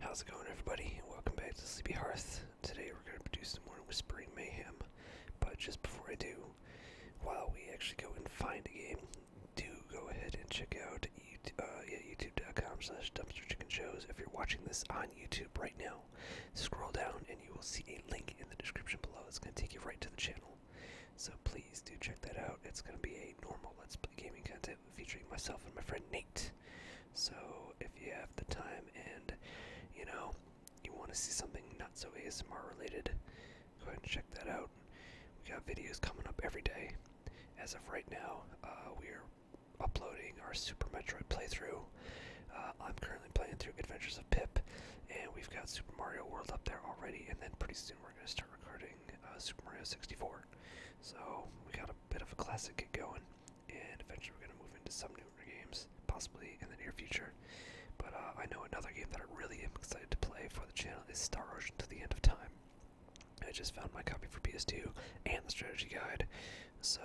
How's it going, everybody? Welcome back to Sleepy Hearth. Today we're going to produce some more Whispering Mayhem, but just before I do, while we actually go and find a game, do go ahead and check out uh, youtube.com slash dumpster chicken shows. If you're watching this on YouTube right now, scroll down and you will see a link in the description below. It's going to take you right to the channel. So please do check that out. It's going to be a normal Let's Play gaming content featuring myself and my friend Nate. So if you have the time and you know you want to see something not so ASMR related, go ahead and check that out. We got videos coming up every day. As of right now, uh, we are uploading our Super Metroid playthrough. Uh, I'm currently playing through Adventures of Pip, and we've got Super Mario World up there already. And then pretty soon we're going to start recording uh, Super Mario 64. So we got a bit of a classic get going, and eventually we're gonna move into some newer games, possibly in the near future. But uh, I know another game that I really am excited to play for the channel is Star Ocean to the End of Time. I just found my copy for PS2 and the strategy guide, so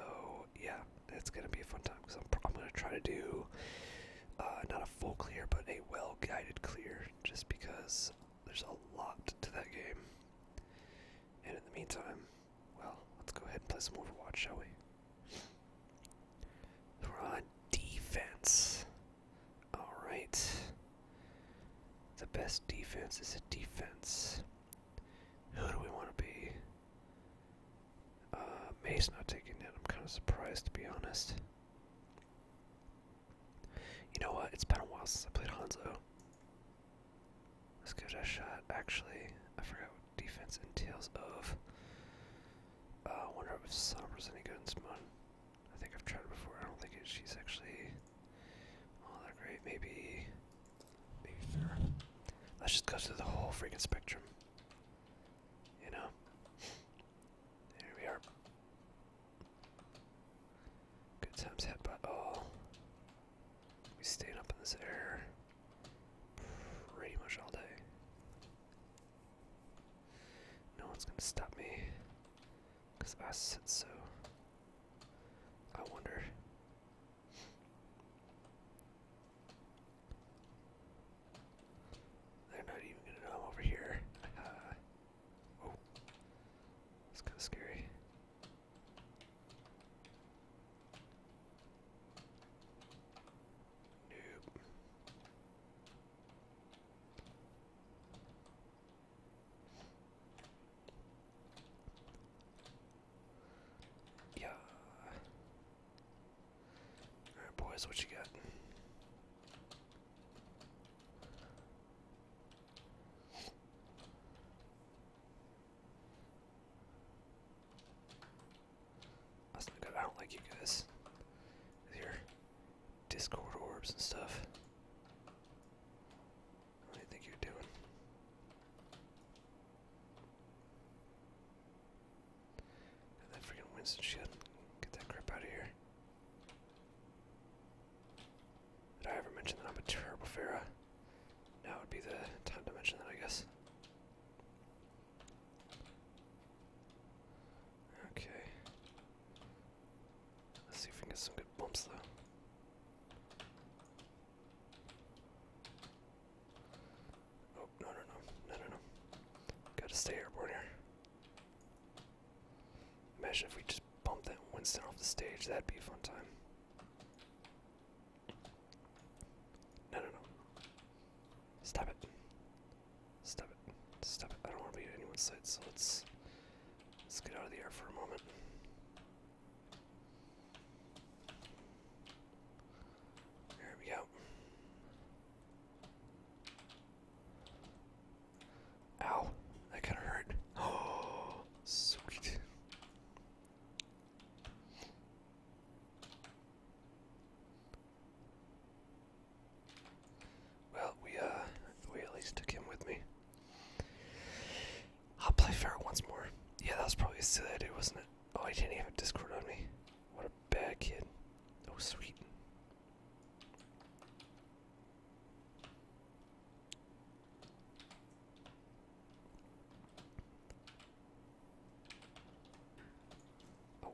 yeah, it's gonna be a fun time because I'm, gonna try to do uh, not a full clear, but a well guided clear, just because there's a lot to that game. And in the meantime, well, let's go ahead and play some Overwatch, shall we? We're on defense. Alright. The best defense is a defense. Who do we want to be? Uh, not taking it. I'm kind of surprised, to be honest. You know what? It's been a while since I played Hanzo. Let's give it a shot. Actually, I forgot what defense entails of. Uh, I wonder if Sombra's any good in Smon. I think I've tried it before. I don't think it, she's actually all oh, that great. Maybe, maybe fair. Let's just go through the whole freaking spectrum. You know. There we are. Good times had by all. We stayed up in this air pretty much all day. No one's gonna stop me because I said so. I wonder. They're not even gonna know over here. oh, it's kind of scary. Nope. Yeah. Alright boys, what you got? That's not good. I don't like you guys. With your Discord orbs and stuff. What do you think you're doing? And that freaking Winston shit. Get that crap out of here. Did I ever mention that I'm a Turbofera? Now would be the time to mention that, I guess. Okay. Let's see if we can get some good bumps, though. Oh, no, no, no. No, no, no. Gotta stay airborne here. Imagine if we just bump that Winston off the stage. That'd be a fun time. No, no, no. Stop it. Stop it. Stop it. I don't want to be at anyone's side. so let's let's get out of the air for a moment. There we go. Ow, that kind of hurt. Oh, sweet. Well, we uh, we at least took him with me. I'll play fair once more. Yeah, that was probably a silly idea, wasn't it? Oh, he didn't even Discord on me. What a bad kid. Oh, sweet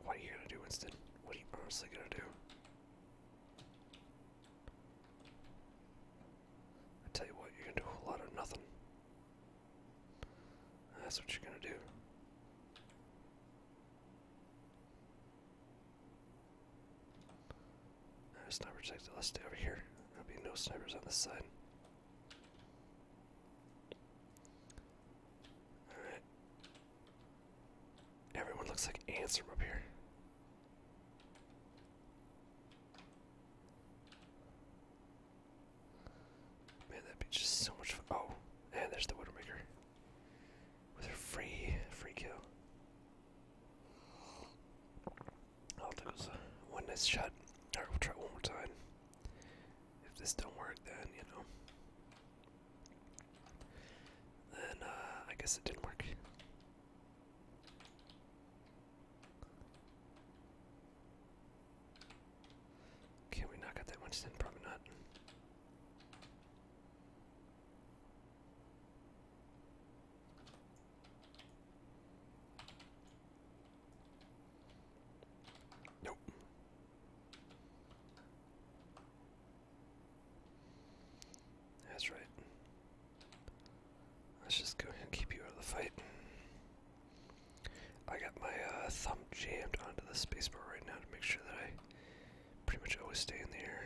what are you gonna do instead? What are you honestly gonna do? I tell you what, you're gonna do a lot of nothing. That's what you're gonna do. There's sniper protected. Let's stay over here. There'll be no snipers on this side. Alright. Everyone looks like ants from up here. Man, that'd be just so much fun. Oh, and there's the Widowmaker. With her free, free kill. I'll do is one nice shot. Alright, we'll try one more time. If this don't work, then, you know. Then, uh, I guess it didn't work. Can we knock out that much then? Probably not. Nope. That's right. Let's just go ahead and keep you out of the fight. I got my uh, thumb jammed onto the spacebar right now to make sure that I pretty much always stay in the air.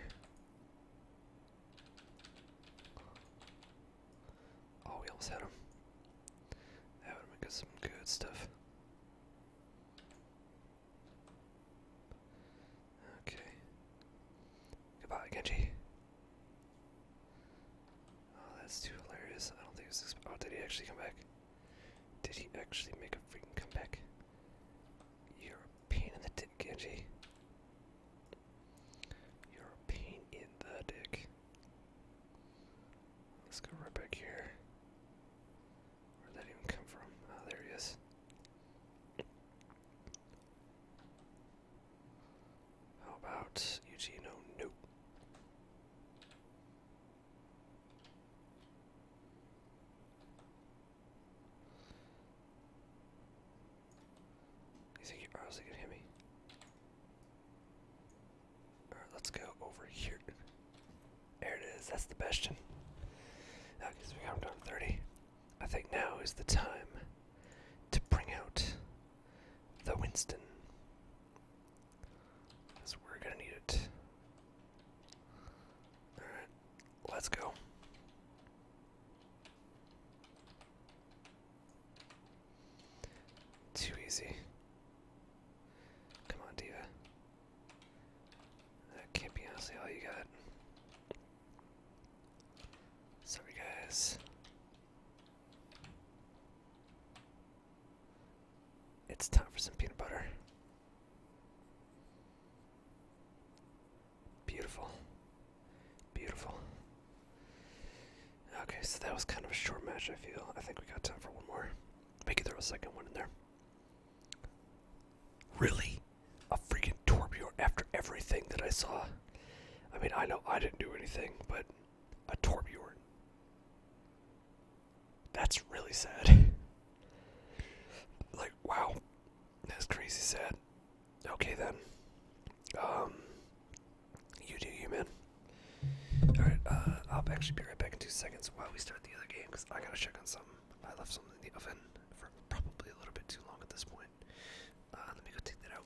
Oh, we almost had him. That would make got some good stuff. Okay. Goodbye, Genji. Oh, that's too hilarious. I don't think it's. Oh, did he actually come back? Did he actually make a freaking comeback? You're a pain in the dick, Genji. You're a pain in the dick. Let's go right back here. Where'd that even come from? Ah, there he is. How about Eugene? nope. You think you're honestly gonna hit me? Alright, let's go over here. There it is, that's the bastion. Now, because we come down to 30, I think now is the time to bring out the Winston. Because we're gonna need it. Alright, let's go. Too easy. Come on, Diva. That can't be honestly all you got. Sorry, guys. It's time for some peanut butter. Beautiful. Beautiful. Okay, so that was kind of a short match, I feel. I think we got time for one more. Maybe throw a second one in there. Really? A freaking Torbjorn after everything that I saw? I mean, I know I didn't do anything, but a Torbjorn. That's really sad. like, wow. That's crazy sad. Okay then. Um, you do you, man. All right, uh, I'll actually be right back in two seconds while we start the other game because I gotta check on something. I left something in the oven for probably a little bit too long at this point. Uh, let me go take that out.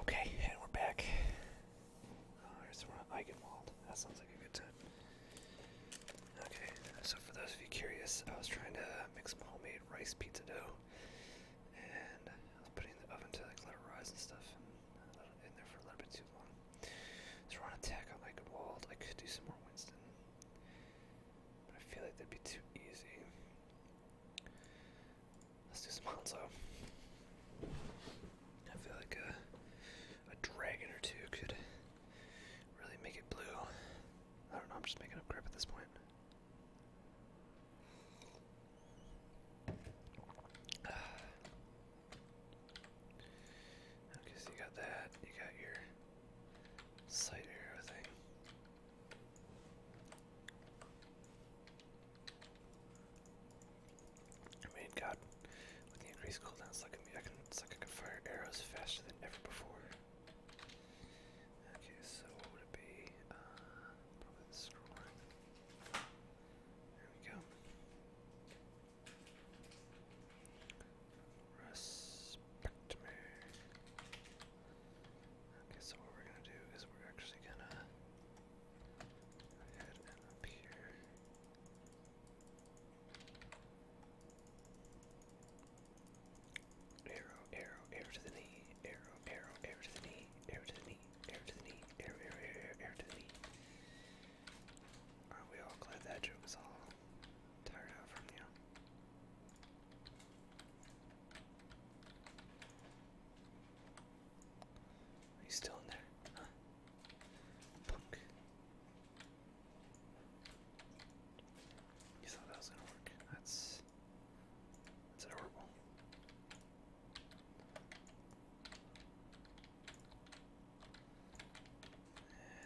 Okay, and we're back. Oh, here's we're on Eichenwald. That sounds like a good time. Okay, so for those of you curious, I was trying to make some homemade rice pizza dough, and I was putting in the oven to like let it rise and stuff in there for a little bit too long. So we attack on like Wald. I could do some more Winston. But I feel like that'd be too easy. Let's do some Hanzo. I feel like a, a dragon or two could really make it blue. I don't know, I'm just making up crap at this point. Okay, so you got that. You got your sight arrow thing. I mean, God, with the increased cooldown, like I, can, like I can fire arrows faster than ever before. Okay, so what would it be? Uh, the scroll. There we go. Respect me. Okay, so what we're gonna do is we're actually gonna head and up Arrow, arrow, arrow to the knee. Arrow, arrow, arrow to the knee. Arrow to the knee. Arrow to the knee. Arrow, arrow, arrow, arrow to the knee. Are we all glad that joke was all tired out from you? Are you still in there? Punk. You thought that was gonna work. That's that's adorable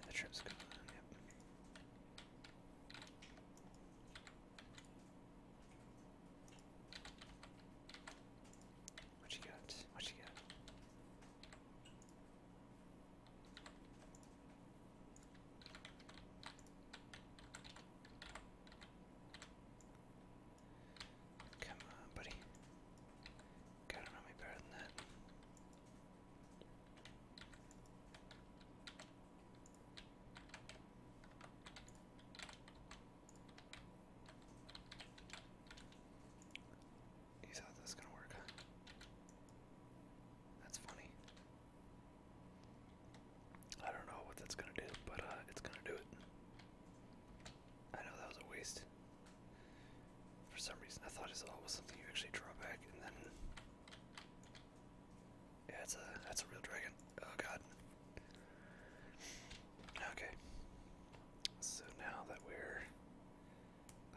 the trip's gone, yep. What you got? What you got? Come on, buddy. Gotta know me better than that. You thought this was gonna work, That's funny. I don't know what that's gonna do, but uh, it's gonna do it. I know that was a waste. For some reason, I thought it was always something you actually draw back, and then yeah, it's a that's a real dragon. Oh god. Okay. So now that we're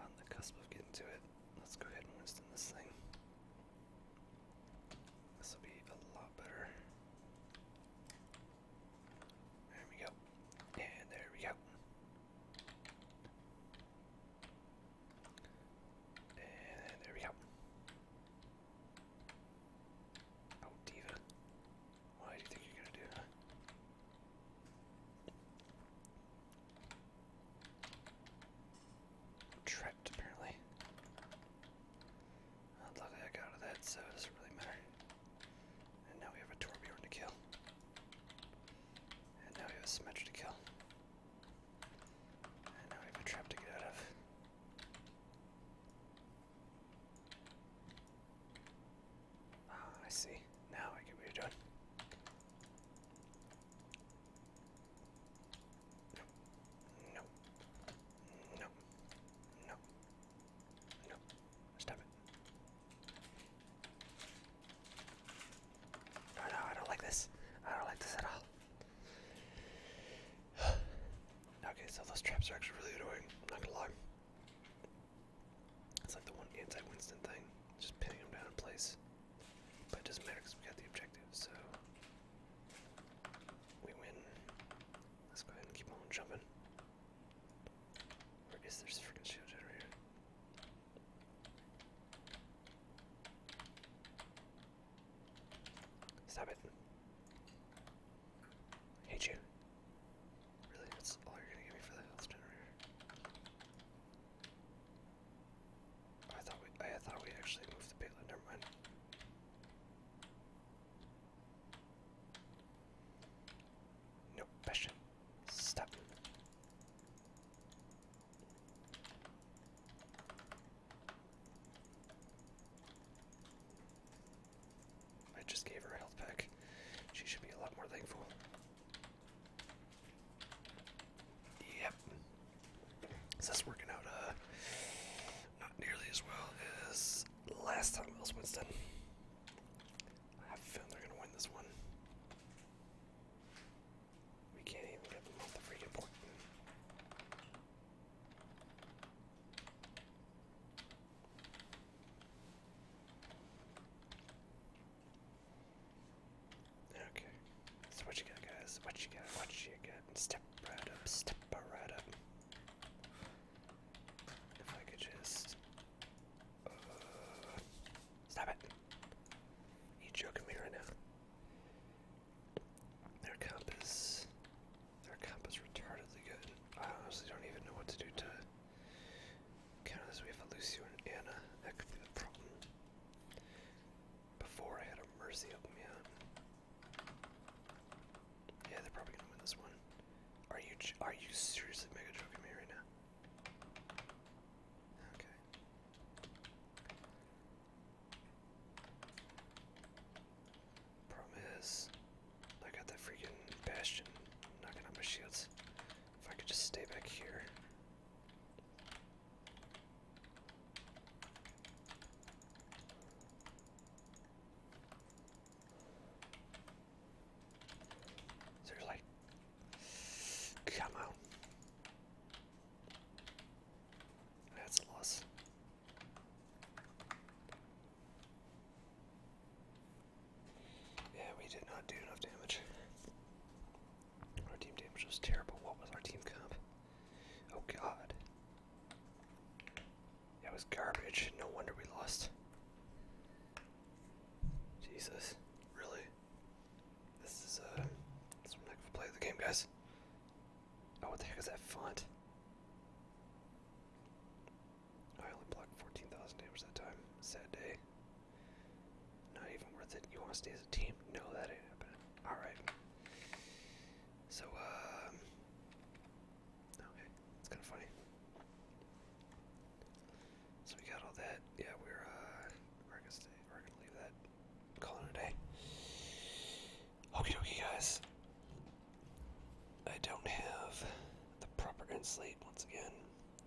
on the cusp of getting to it, let's go ahead and Winston this thing. This will be a lot better. There we go. And there we go. And there we go. Oh, Diva. Why do you think you're gonna do trapped, apparently. I'd love to out of that, so it doesn't really matter. And now we have a Torbjorn to kill. And now we have a Symmetra to kill. And now we have a trap to get out of. Ah, I see. Now I can what you Nope. Nope. Nope. No, stop it. No, no, I don't like this. I don't like this at all. okay, so those traps are actually really annoying. I'm not gonna lie. It's like the one anti-Winston thing, just pinning them down in place. But it doesn't matter because we got the objective, so we win. Let's go ahead and keep on jumping. Where is this freaking shield generator? Stop it. hate you. Really, that's all you're gonna give me for the health generator. I thought we I thought we actually moved the payload, never mind. No passion. Stop. I just gave her a health pack. She should be a lot more thankful. Yep. So that's working out uh not nearly as well as last time I I have a feeling they're gonna win this one. We can't even get them off the freaking port. Okay, so what you got, guys? What you got? What you got? Step right up, step right up. If I could just Stop it. You are joking me right now? Their compass, their comp retardedly good. I honestly don't even know what to do to counter We have Lucio and Anna. That could be the problem. Before I had a Mercy open me Yeah, they're probably gonna win this one. Are you are you seriously mega joking me right now? Okay. Problem is, I got that freaking bastion knocking out my shields. If I could just stay back here. So like, come on. That's loss. Yeah, we did not do enough damage. Our team damage was terrible. What was our team comp? Oh god. That was garbage. No wonder we lost. Jesus, really? This is uh, this is one heck of a play the game, guys. Oh, what the heck is that font? I only blocked 14,000 damage that time. Sad day. Not even worth it. You want to stay as a team? No, that ain't happening. Alright. So, um. Okay, it's kind of funny. So we got all that. Yeah, we're uh we're gonna stay we're gonna leave that call it a day. Okie dokie guys. I don't have the proper end slate once again.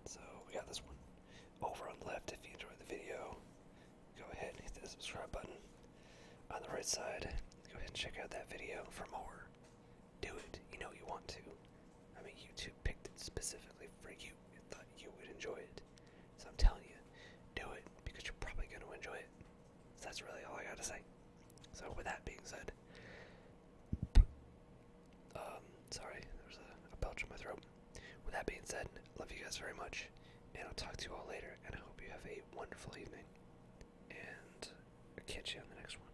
So we got this one over on left. If you enjoyed the video, go ahead and hit the subscribe button. On the right side, go ahead and check out that video for more do it. You know you want to. I mean, YouTube picked it specifically for you. It thought you would enjoy it. So I'm telling you, do it because you're probably going to enjoy it. So that's really all I got to say. So with that being said, um, sorry, there was a, belch in my throat. With that being said, love you guys very much, and I'll talk to you all later. And I hope you have a wonderful evening, and i catch you on the next one.